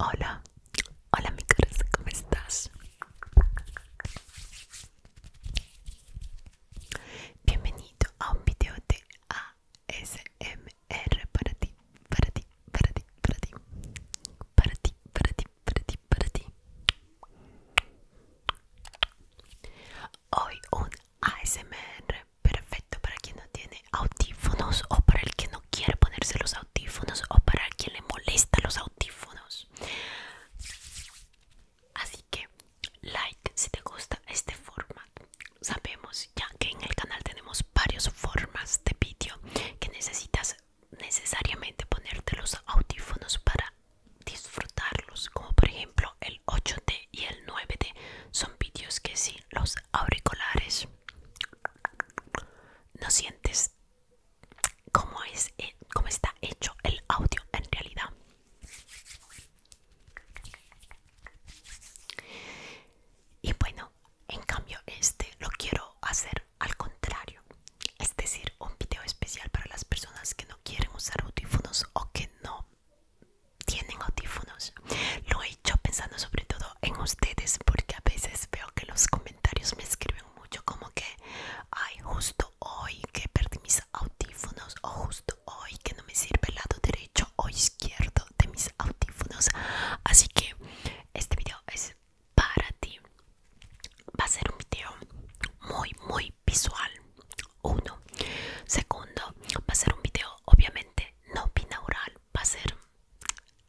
Hola, hola mi corazón, ¿cómo estás? Bienvenido a un video de ASMR para ti, para ti, para ti, para ti, para ti, para ti, para ti, para ti. Hoy un ASMR perfecto para quien no tiene audífonos o para el que no quiere ponerse los audífonos o para quien le molesta los audífonos. Así que like si te gusta este formato. Sabemos ya que en el canal tenemos varias formas de vídeo que necesitas necesariamente ponerte los audífonos para disfrutarlos, como por ejemplo el 8T y el 9T son vídeos que sin los auriculares no sientes cómo, es, eh, cómo está hecho el audio en realidad. Y bueno, en cambio este lo quiero hacer al contrario. Es decir, un video especial para las personas que no quieren usar audífonos o que no tienen audífonos. Lo he hecho pensando sobre todo en ustedes porque a veces veo que los comentarios me escriben mucho como que, ay, justo hoy que perdí mis audífonos o justo hoy que no me sirve el lado derecho o izquierdo de mis audífonos. Así que este video es para ti. Va a ser un video muy, muy visual. Uno. Segundo, va a ser un video obviamente no binaural, va a ser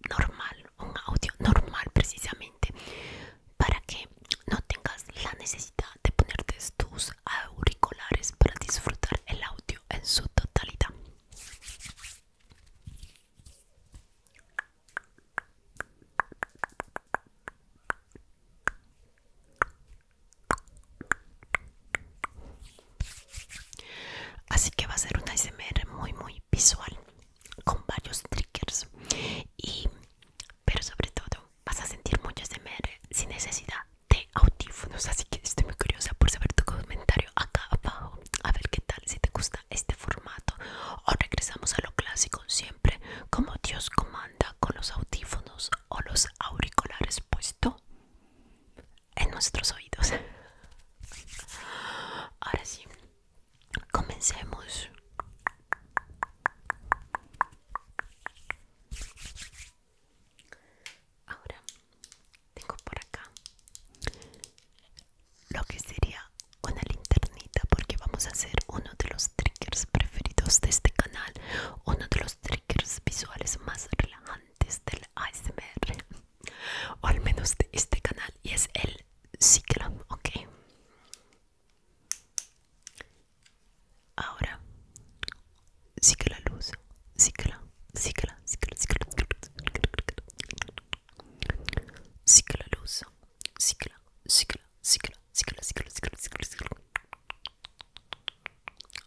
normal, un audio normal precisamente, para que no tengas la necesidad de ponerte tus auriculares para disfrutar el audio en su totalidad. Así que va a ser una ASMR muy muy visual con varios triggers y pero sobre todo vas a sentir mucho ASMR sin necesidad de audífonos así que estoy muy curiosa por saber tu comentario acá abajo a ver qué tal si te gusta este formato o regresamos a lo clásico siempre como Dios comanda con los audífonos o los auriculares puesto en nuestros oídos. Ahora sí, comencemos. Ahora tengo por acá lo que sería una linternita porque vamos a hacer uno de los triggers preferidos de este canal, uno de los triggers visuales más relajantes del ASMR o al menos de este canal y es el ciclón, ok ahora cicla luz cicla cicla cicla cicla cicla luz cicla cicla cicla cicla cicla cicla cicla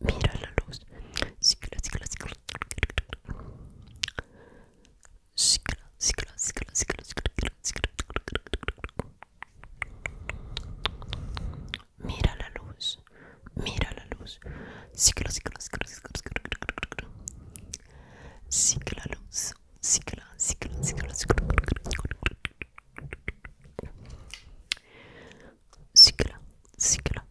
Mira la luz. Mira la luz. Mira la luz. la luz. cicla,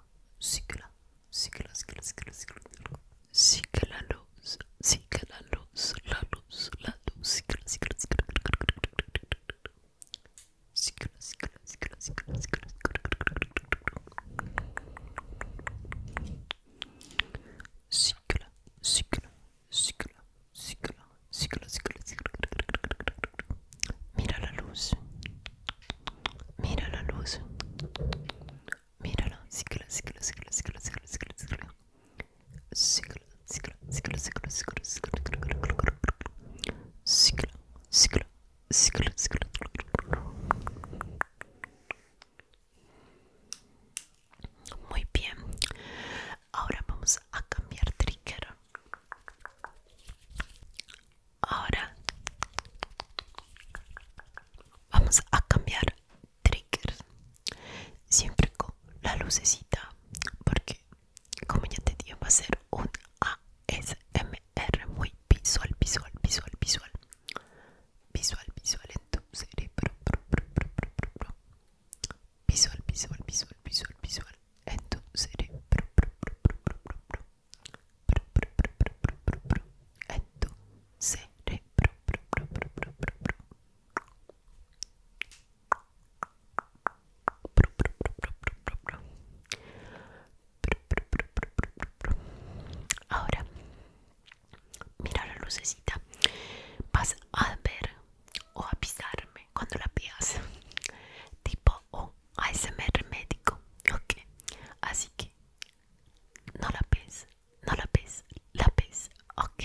la luz, sigue la luz, la luz, la luz, sigue la sigue la sigue Mira la luz, Mira la luz. Míralo. Síguelo, síguelo, síguelo, síguelo, síguelo, síguelo, síguelo. Síguelo, síguelo, síguelo, síguelo, síguelo, síguelo, síguelo, síguelo, síguelo. Muy bien. Ahora vamos a cambiar trigger. Ahora vamos a cambiar triggers. Siempre con la lucecita, porque como ya te digo, va a ser un ASMR muy visual, visual, visual, visual. Visual, visual visual, Visual, visual, visual, visual, visual en tu cerebro, Ahora, mira la lucecita. Vas a ver o a pisarme cuando la veas. Tipo ese médico, ok. Así que no la pes, no la pes, la ves ok.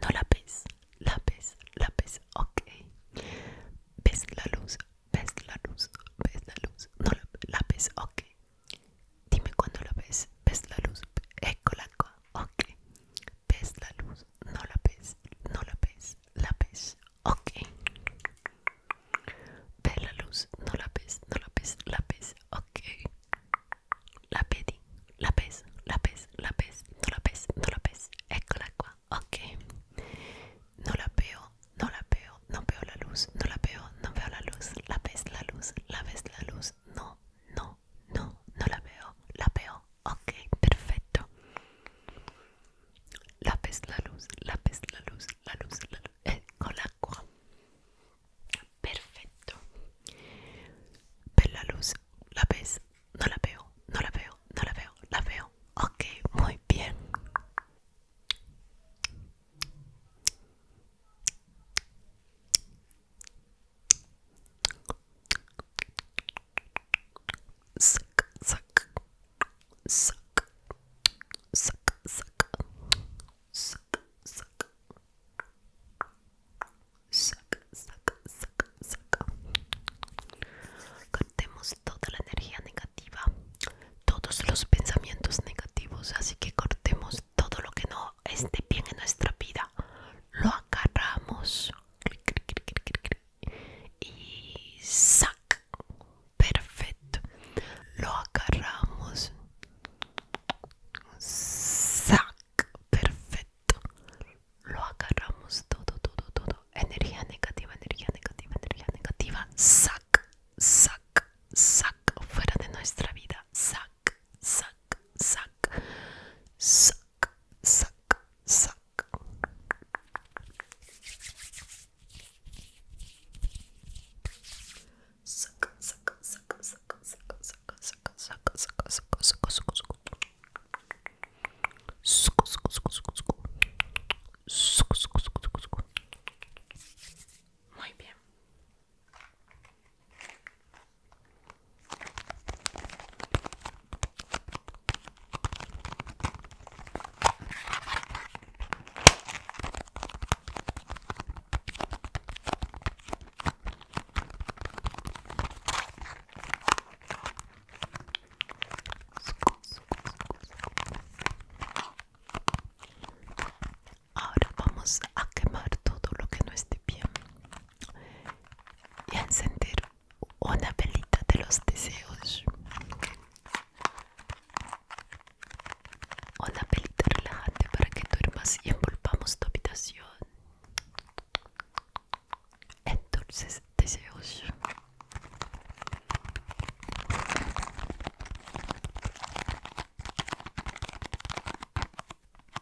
No la pes, la ves la pes, ok. Ves la luz, ves la luz, ves la luz, no la, ves, ok. Dime cuando la ves, ves la luz, la ok. Ves la luz, no la ves, no la ves, ves, ok. Ve la luz, no la no La ok. La pedí, La la lápiz, no la no ok. No la veo, no la veo, no veo la luz, no la veo, no veo la luz, la ves la luz, la ves la luz, no, no, no, no la veo, la veo, ok, perfecto. Lápiz, la luz, lápiz, la luz, la luz, la luz, eh, con agua. Perfecto. ¿Ves la luz, la ves, no la veo, no la veo, no la veo, la veo. Ok, muy bien. Sac, sac, sac, sac, sac, sac, ¡saca!, sac, saca!. Cortemos toda la energía negativa, todos los pensamientos negativos, así que cortemos todo lo que no esté bien en nuestra vida. Lo agarramos y sac perfecto lo agarramos sac perfecto lo agarramos todo todo todo energía negativa energía negativa energía negativa sac sac sac fuera de nuestra vida sac sac sac sac sac, sac. Sac, sac, sac, sac, sac, sac, sac, sac, sac, sac, sac, sac. Suc, suc, suc, suc, suc. Suc, suc, suc, suc, suc. Muy bien. Ahora vamos a quemar todo lo que no esté bien y encender una pelita de los deseos una pelita relajante para que duermas y envolvamos tu habitación entonces deseos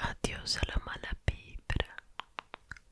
Adiós a la mala vibra.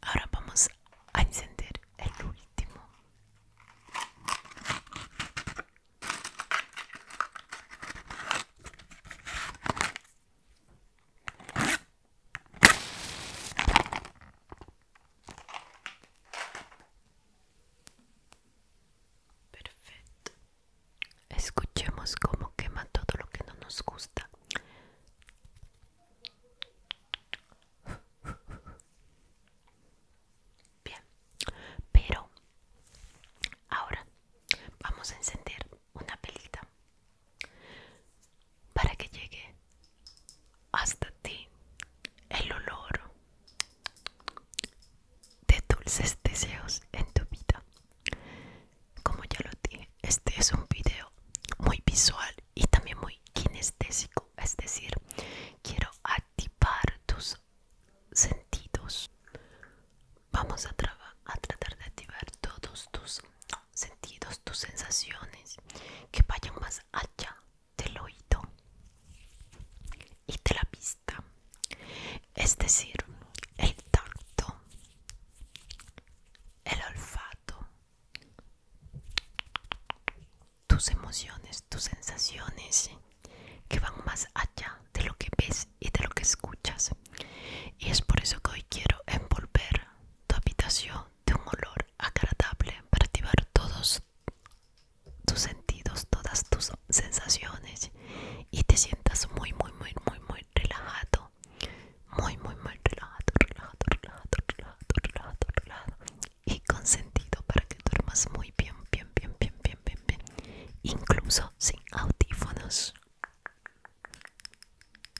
Ahora vamos a encender el último. Perfecto. Escuchemos cómo quema todo lo que no nos gusta. Bien, pero ahora vamos a encender una pelita para que llegue hasta ti el olor de dulces deseos en tu vida. Como ya lo dije, este es un video muy visual y también muy kinestésico, es decir, quiero activar tus sentidos. Vamos a tratar de activar todos tus sentidos, tus sensaciones, que vayan más allá del oído y de la vista, es decir, el tacto, el olfato, tus emociones, tus sensaciones, que van más allá de lo que ves y de lo que escuchas. Y es por eso que hoy quiero envolver tu habitación de un olor agradable para activar todos tus sentidos, todas tus sensaciones y te sientas muy, muy, muy, muy, muy relajado. Muy, muy, muy relajado, relajado, relajado, relajado, relajado, relajado. Y sentido para que duermas muy bien, bien, bien, bien, bien, bien, bien. Incluso sin audífonos.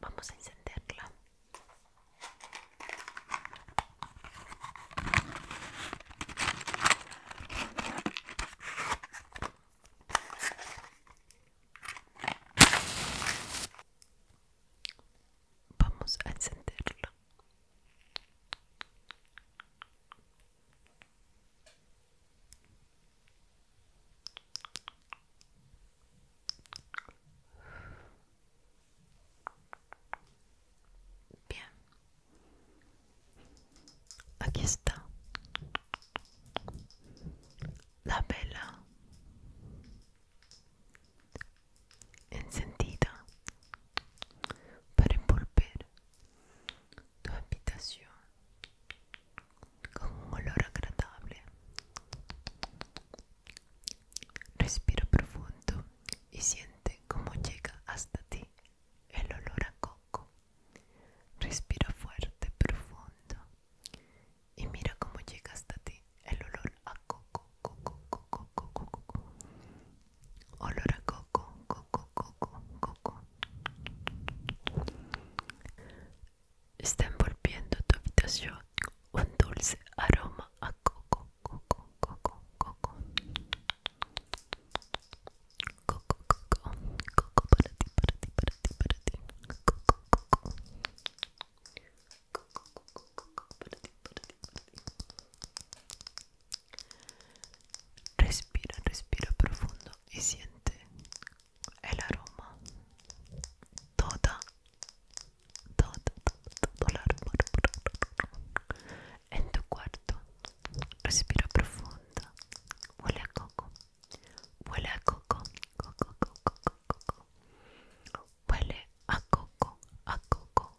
Vamos a encenderla. Vamos a encenderla. Bien, aquí está la vela encendida para envolver tu habitación con un olor agradable. Respira profundo y siente cómo llega hasta ti el olor a coco. Respira fuerte, profundo y mira cómo llega hasta ti el olor a coco, coco, coco, coco, coco olor a coco, coco, coco, coco. Está envolviendo tu habitación un dulce aroma a coco, coco, coco, coco. Coco, coco, coco para ti, para ti, para ti, para ti. Coco, coco. Coco, coco, para ti, para Respira, respira profundo y siente el aroma. Toda, toda, todo el aroma en tu cuarto. Respira profundo Huele a coco. Huele a coco, coco, coco. Huele a coco, a coco,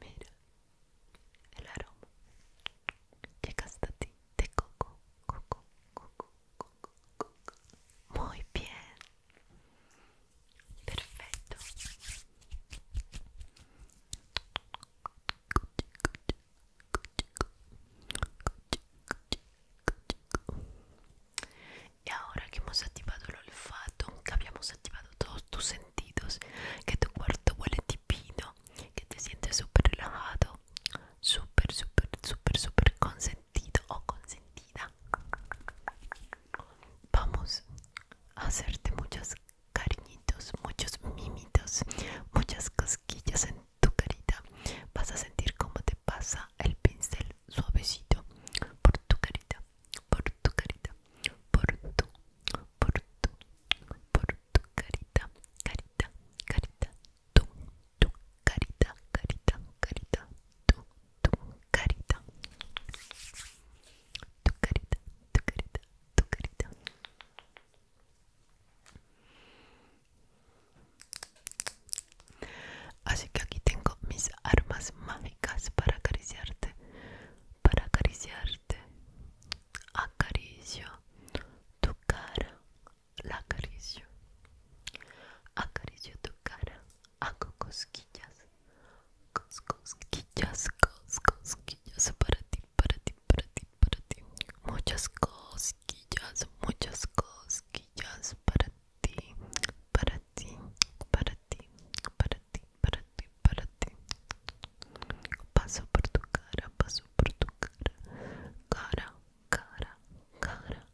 Mira el aroma llega hasta ti de coco, coco, coco, coco, coco. Muy bien, perfecto. Y ahora que hemos activado el olfato Que habíamos activado todos tus sentidos, Que tu cuarto huele tipino, que te sientes súper relajado, súper, súper, súper, súper consentido o consentida. Vamos a hacerte muchas cariñitos, muchos mimitos, muchas cosquillas en tu carita. Vas a sentir cómo te pasa el pincel suavecito por tu carita, por tu carita, por tu, por tu, por tu carita, carita, carita, tu, tu carita, carita, carita, tu, tu carita tu carita, tu carita, tu carita. Así que aquí tengo mis armas mágicas para acariciarte, para acariciarte. Acaricio tu cara, la acaricio. Acaricio tu cara, hago cosquillas, cosquillas, cosquillas para ti, para ti, para ti, para ti. Muchas cosquillas, muchas cosquillas para ti, para ti, para ti, para ti, para ti, para ti. Paso por tu cara, paso por tu cara, cara, cara, cara,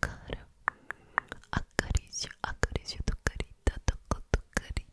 cara. Acaricio, acaricio tu carita, toco tu carita.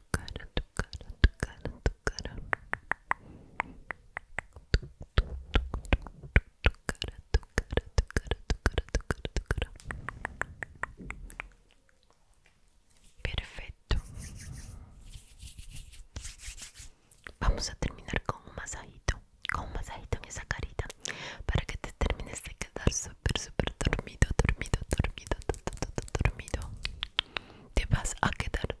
tu cara, tu cara, tu cara. Perfecto. Vamos a terminar con un masajito, con un masajito en esa carita, para que te termines de quedar súper, súper dormido, dormido, dormido, dormido. Te vas a quedar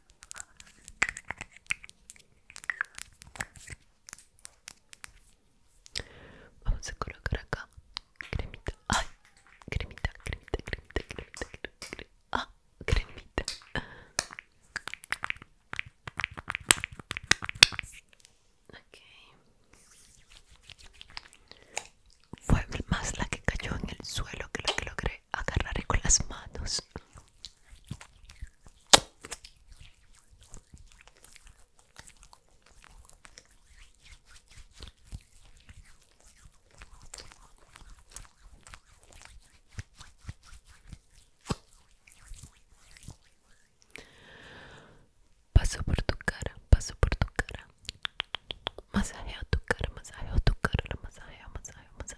Vamos a colocar acá cremita. Ay, cremita, cremita, cremita, cremita, cremita. Ah, cremita. Ok. Fue más la que cayó en el suelo que la que logré agarrar con las manos. Paso por tu cara, paso por tu cara. Masajeo tu cara, masajeo tu cara, masajeo, masajeo, masajeo.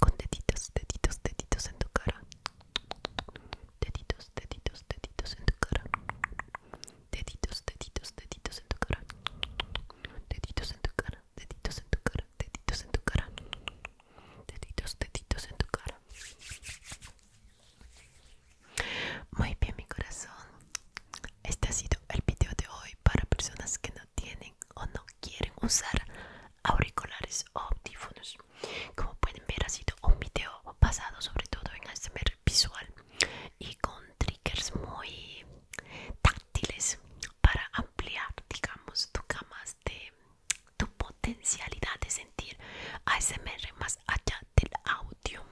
con deditos, deditos, deditos en tu cara. Deditos, deditos, deditos en tu cara. Deditos, deditos, deditos en tu cara. Deditos en tu cara, deditos en tu cara, deditos en tu cara. Deditos, deditos en tu cara. Muy bien, mi corazón. Este ha sido el video de hoy para personas que no tienen o no quieren usar auriculares o audífonos. Como pueden ver ha sido un video pasado sobre todo en ASMR visual y con triggers muy táctiles para ampliar digamos tu gama de tu potencialidad de sentir ASMR más allá del audio.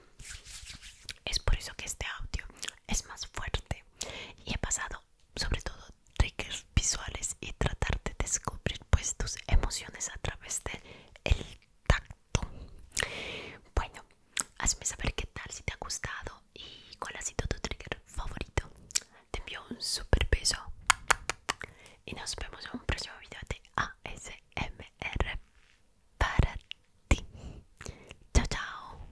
Es por eso que este audio es más fuerte y he pasado sobre todo triggers visuales y tratar de descubrir pues tus emociones a través del tacto. Bueno, hazme saber qué tal, si te ha gustado y cuál ha sido tu trigger favorito. Te envío un super beso y nos vemos en un próximo video de ASMR para ti. Chao, chao.